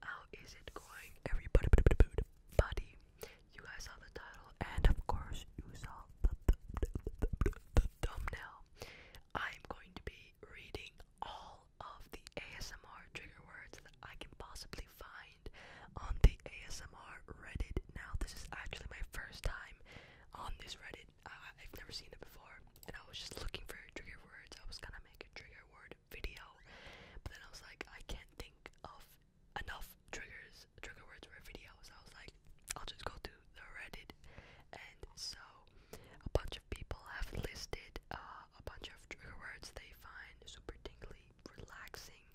How is it going, everybody? you guys saw the title, and of course, you saw the thumbnail. I'm going to be reading all of the ASMR trigger words that I can possibly find on the ASMR Reddit. Now, this is actually my first time on this Reddit. Uh, I've never seen it before, and I was just looking for trigger words. I was gonna make a trigger word video, but then I was like, I can't think of enough triggers, trigger words for a video. So I was like, I'll just go to the Reddit, and so a bunch of people have listed uh, a bunch of trigger words they find super tingly, relaxing,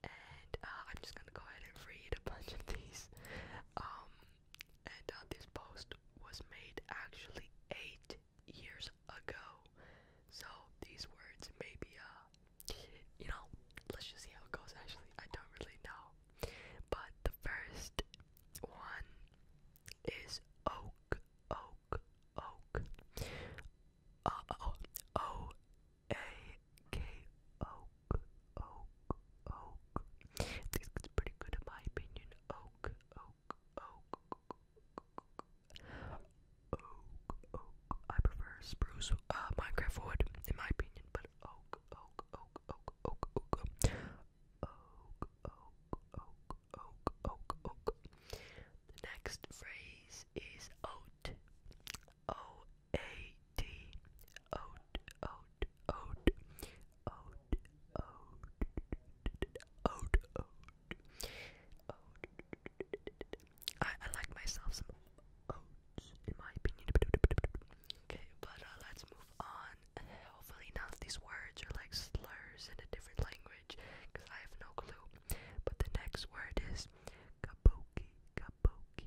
and uh, I'm just gonna go ahead and read a bunch of these. Um, and uh, this post was made actually eight years ago. So these words may be, uh, you know, let's just see how it goes. Actually, I don't really know. But the first one is oak, oak, oak. Uh, oh, O A K O oak, oak, oak. This is pretty good in my opinion. Oak, oak, oak, oak, oak. I prefer spruce, uh, Minecraft wood, in my opinion, but oak, oak, oak, oak, oak, oak, oak, oak, oak, oak, oak, oak. The next phrase is oat. O A D oat, oat, oat, oat, oat, oat, oat, oat. I, I like myself some oats, in my opinion. Okay, but uh, let's move on. Hopefully, none these words are like slurs in a different language, because I have no clue. But the next word is kabuki, kabuki,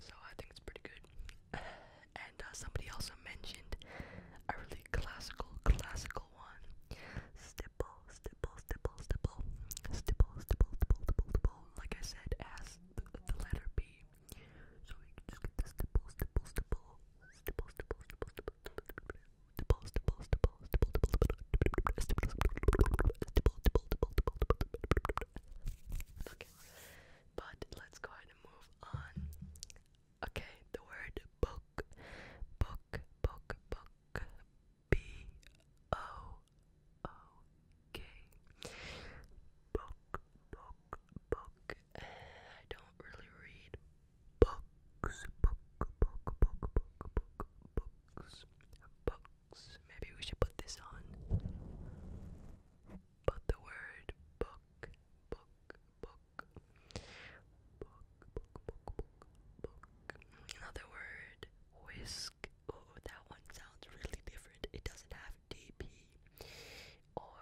so I think it's pretty good. And uh, somebody also mentioned a really classical, classical one. Stipple, stipple, stipple, stipple. Stipple, stipple, stipple, stipple, stipple. Like I said, as the, the letter B. So we can just get the stipple, stipple, stipple. Stipple, stipple, stipple, stipple. Stipple, stipple, stipple, stipple, stipple. Stipple, stipple, stipple, stipple. Okay, but let's go and move on. Okay, the word book, book, book, book, B O O K. Book, book, book. I don't really read books, book, book, book, book, book, books. Maybe we should put this on. But the word book, book, book, book, book, book, book, book. Another word, whisk. Oh, that one sounds really different. It doesn't have DP or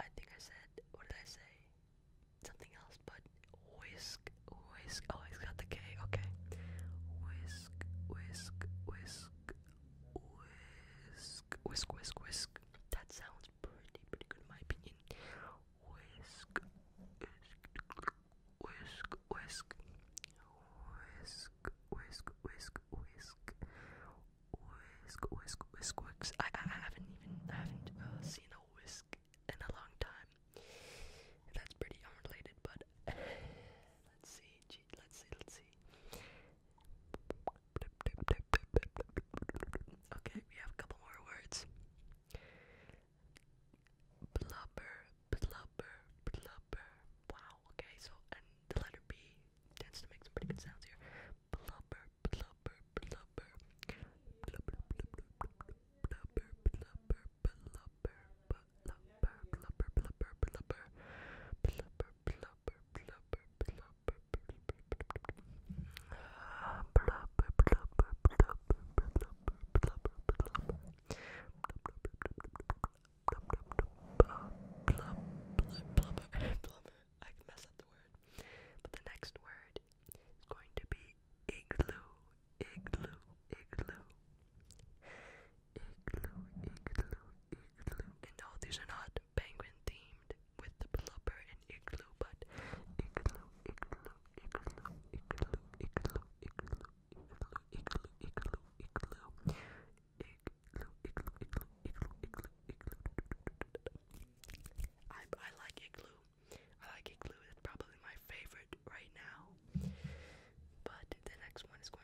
I think I said what did I say? Something else, but whisk, whisk. Oh, it's got the K. Okay, whisk, whisk, whisk, whisk, whisk, whisk, whisk. That sounds pretty, pretty good in my opinion. Whisk, whisk, whisk, whisk, whisk, whisk, whisk, whisk, whisk, whisk, whisk, whisk. I, I haven't even, haven't uh, seen a whisk in a long time. That's pretty unrelated, but let's see. Let's see, let's see. Okay, we have a couple more words. Blubber, blubber, blubber. Wow, okay, so, the letter B tends to make some pretty good sounds here. Blubber, blubber, blubber. Blubber, blubber, blubber, blubber, blubber blubber, blubber, blubber, blubber, blubber, blubber, blubber, blubber, I can mess up the word. But the next word is going to be igloo, igloo, igloo, no, these are not penguin themed with the blubber and igloo, but igloo, igloo, igloo, igloo, igloo, igloo, igloo, igloo, igloo, igloo, igloo. Igloo, igloo, igloo, igloo, igloo, igloo. I I like igloo. I like igloo. It's probably my favorite right now. But the next one is going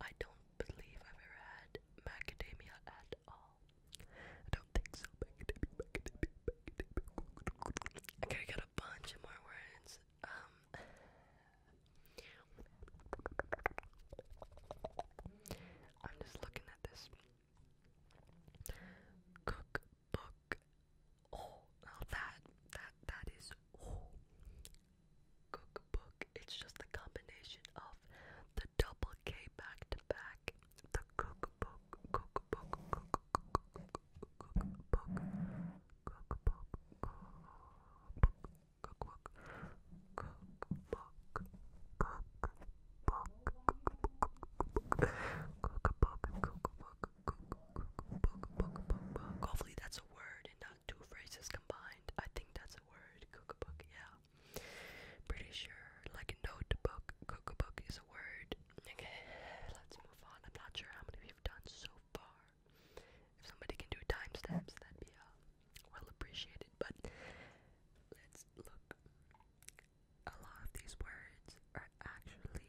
I don't believe I've ever had macadamia at all. I don't think so. Okay, I got a bunch more words. Um, I'm just looking at this cookbook oh that that that is cookbook it's just the combination of the double K back to back the cookbook cookbook cookbook cookbook cookbook cookbook cookbook cookbook cookbook cookbook cookbook Hopefully that's a word and not two phrases combined. I think that's a word. Cookbook, yeah. Pretty sure, like a notebook. Cookbook is a word. Okay, let's move on. I'm not sure how many we've done so far. If somebody can do timestamps, that'd be uh, well appreciated. But let's look. A lot of these words are actually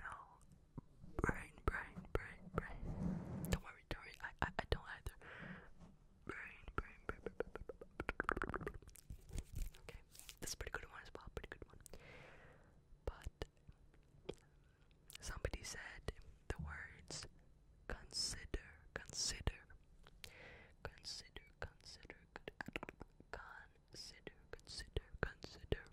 no. Brain, brain, brain, brain. Don't worry, don't worry. I, I, I don't either. Brain, brain, brain, brain, Okay, this a pretty good one as well. Pretty good one. But somebody said the words consider, consider, consider, consider, consider, consider, consider.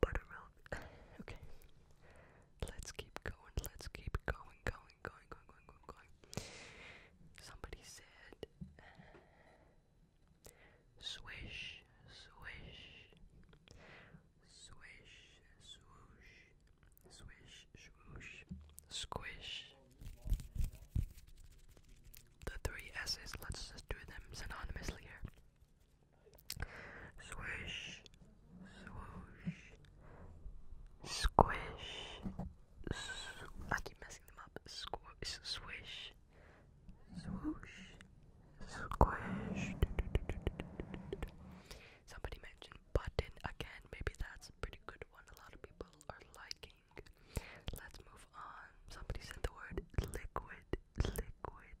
Buttermilk. okay. Let's keep going. Let's keep going, going, going, going, going, going, Somebody said swish, swish, swish, swoosh, swish, swoosh, squish. The three S's, let's just do them synonymously here. Swish, swoosh, squish. I keep messing them up. Squish, swish, swoosh, squish. Somebody mentioned button again. Maybe that's a pretty good one. A lot of people are liking. Let's move on. Somebody said the word liquid, liquid,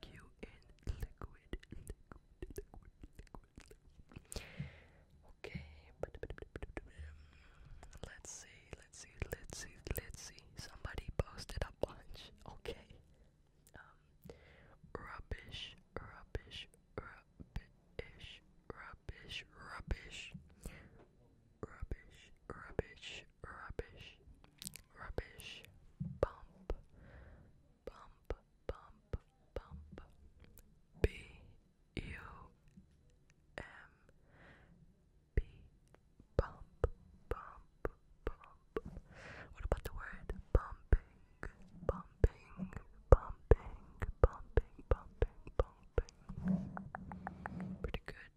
the liquid, Okay, let's see, let's see, let's see, let's see. Somebody posted a bunch. Okay, um, rubbish, rubbish, rubbish, rubbish, rubbish, rubbish, rubbish, rubbish rubbish, bump, bump, bump, bump, B U M B bump, bump, What about the word bumping, bumping, bumping, bumping, bumping, bumping? Pretty good.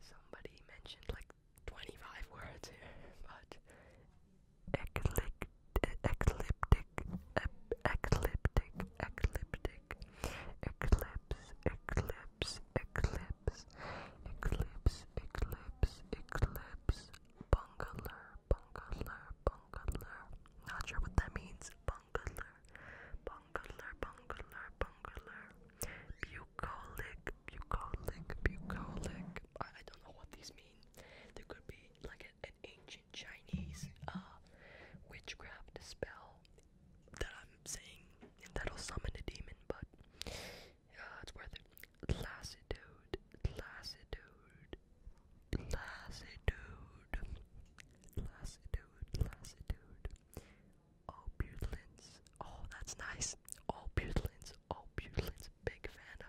Somebody mentioned like 25 words here, but ecliptic, ecliptic, ecliptic, ecliptic, eclipse, eclipse, eclipse, eclipse, eclipse, eclipse, bungalow, bungalow, bungalow. Not sure what that means. Bungalow, bungalow, bungalow, bungalow. Bucolic, bucolic, bucolic. I, I don't know what these mean. There could be like a, an ancient Chinese uh, witchcraft spell that I'm saying that'll summon a demon, but uh, it's worth it. Lassitude, lassitude, lassitude, lassitude, lassitude. All oh, Butylins. Oh, that's nice. All oh, Butylins. Opulence, big fan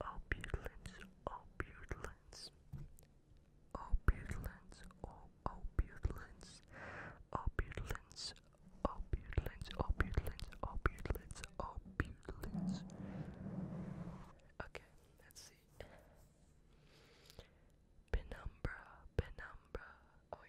of opulence, opulence, opulence, oh, opulence, opulence, opulence, opulence, opulence, opulence. Okay, let's see. Penumbra, penumbra, oi,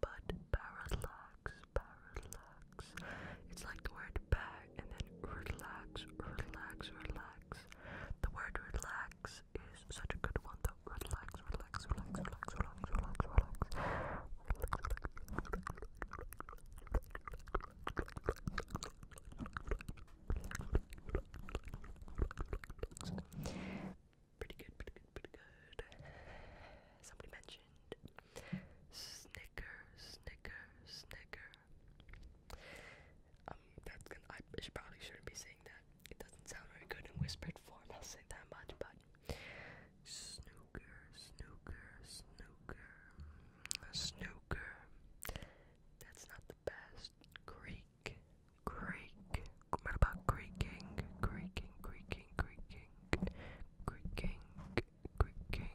but parallax, parallax. It's like the word "back" and then relax, relax, relax. The word relax is such a good one though. Relax, relax, relax, relax, relax, relax, relax. Pretty good, pretty good, pretty good. Somebody mentioned Snicker, Snicker, Snicker. Um, that's gonna, I should, probably shouldn't be saying that. It doesn't sound very good in whispered form, I'll say that much, but Snooker, Snooker, Snooker, Snooker. That's not the best. Creek, Creek. What about creaking, creaking, creaking, creaking? creaking, creaking,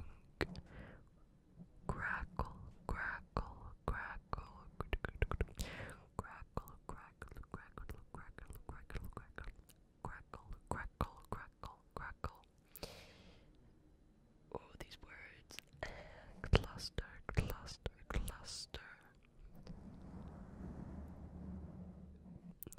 crackle, crackle, crackle, crackle, crackle, crackle, crackle, crackle, crackle, crackle, crackle, crackle. Oh, these words. Cluster, cluster, cluster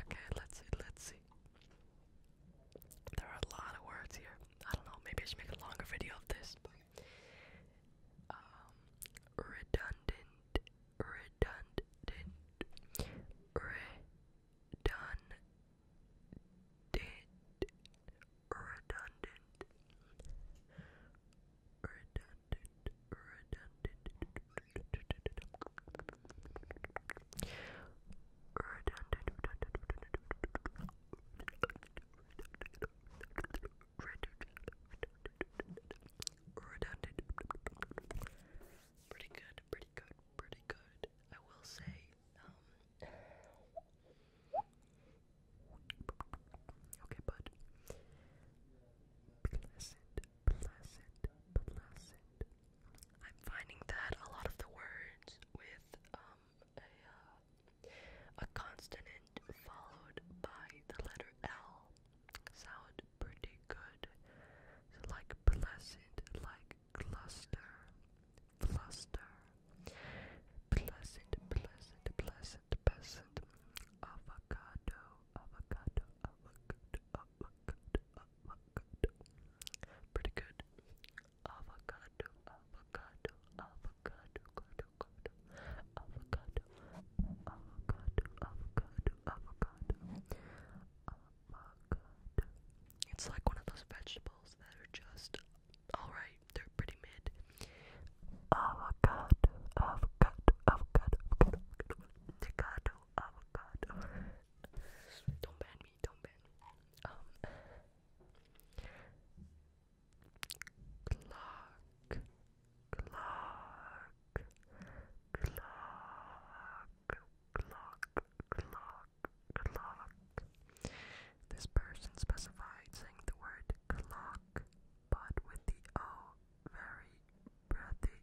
Okay, let's see, let's see. There are a lot of words here. I don't know, maybe I should make a longer video of this, um, redundant redundant redundant redundant redundant redundant Pretty good, pretty good, pretty good. I will say, um, okay, bud. Pleasant, pleasant, pleasant, I'm finding that a lot of the words with um, a, uh, a consonant followed by the letter L sound pretty good. like pleasant, like cluster, cluster, pleasant, pleasant, pleasant, pleasant, avocado, avocado, avocado, avocado, avocado. Pretty good. Avocado, avocado, avocado, avocado, avocado, avocado, avocado, avocado, avocado. It's like one of those vegetables that are just alright, they're pretty mid. Avocado, avocado, avocado, avocado, avocado, avocado. Don't ban me, don't ban me. Um, clock, clock, clock, clock, clock, clock. This person specified saying the word clock, but with the O very breathy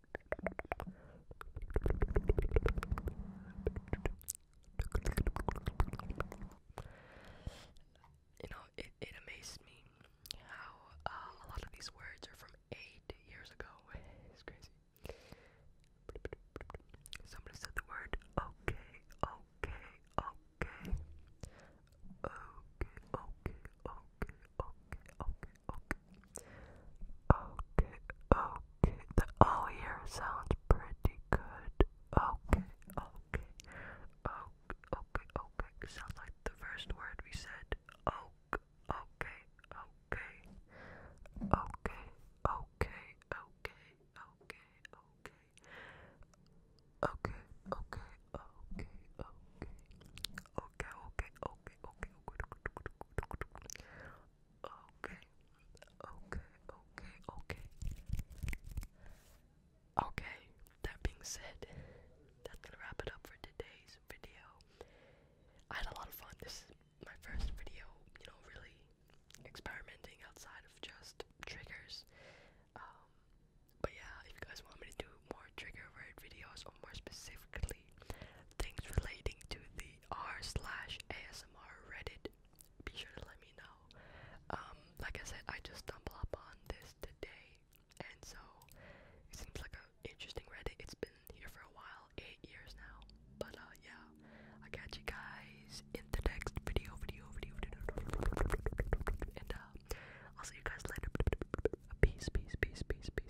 You know, it, it amazed me how uh, a lot of these words are from eight years ago. It's crazy. Somebody said the word okay, okay, okay. Okay, okay, okay, okay, okay, Okay, okay. The O here sounds pretty good. Okay, okay. Okay, okay, okay. Sounds like the first word we said. okay. Okay, okay, okay, okay, okay. Okay, okay, okay, okay. Okay, okay, okay, okay, okay, okay, okay, okay, okay, that being said, that's gonna wrap it up for today's video. I had a lot of fun. This is my first video, you know, really experimenting outside of just triggers. Um, but yeah, if you guys want me to do more trigger word videos or more specifically things relating to the r slash ASMR Reddit. Be sure to let me know. like I said, I just stumbled upon this today, and so it seems like an interesting Reddit. It's been here for a while, eight years now. But yeah, I catch you guys in the next video, video, video, video, and I'll see you guys later. Peace, peace, peace, peace, peace.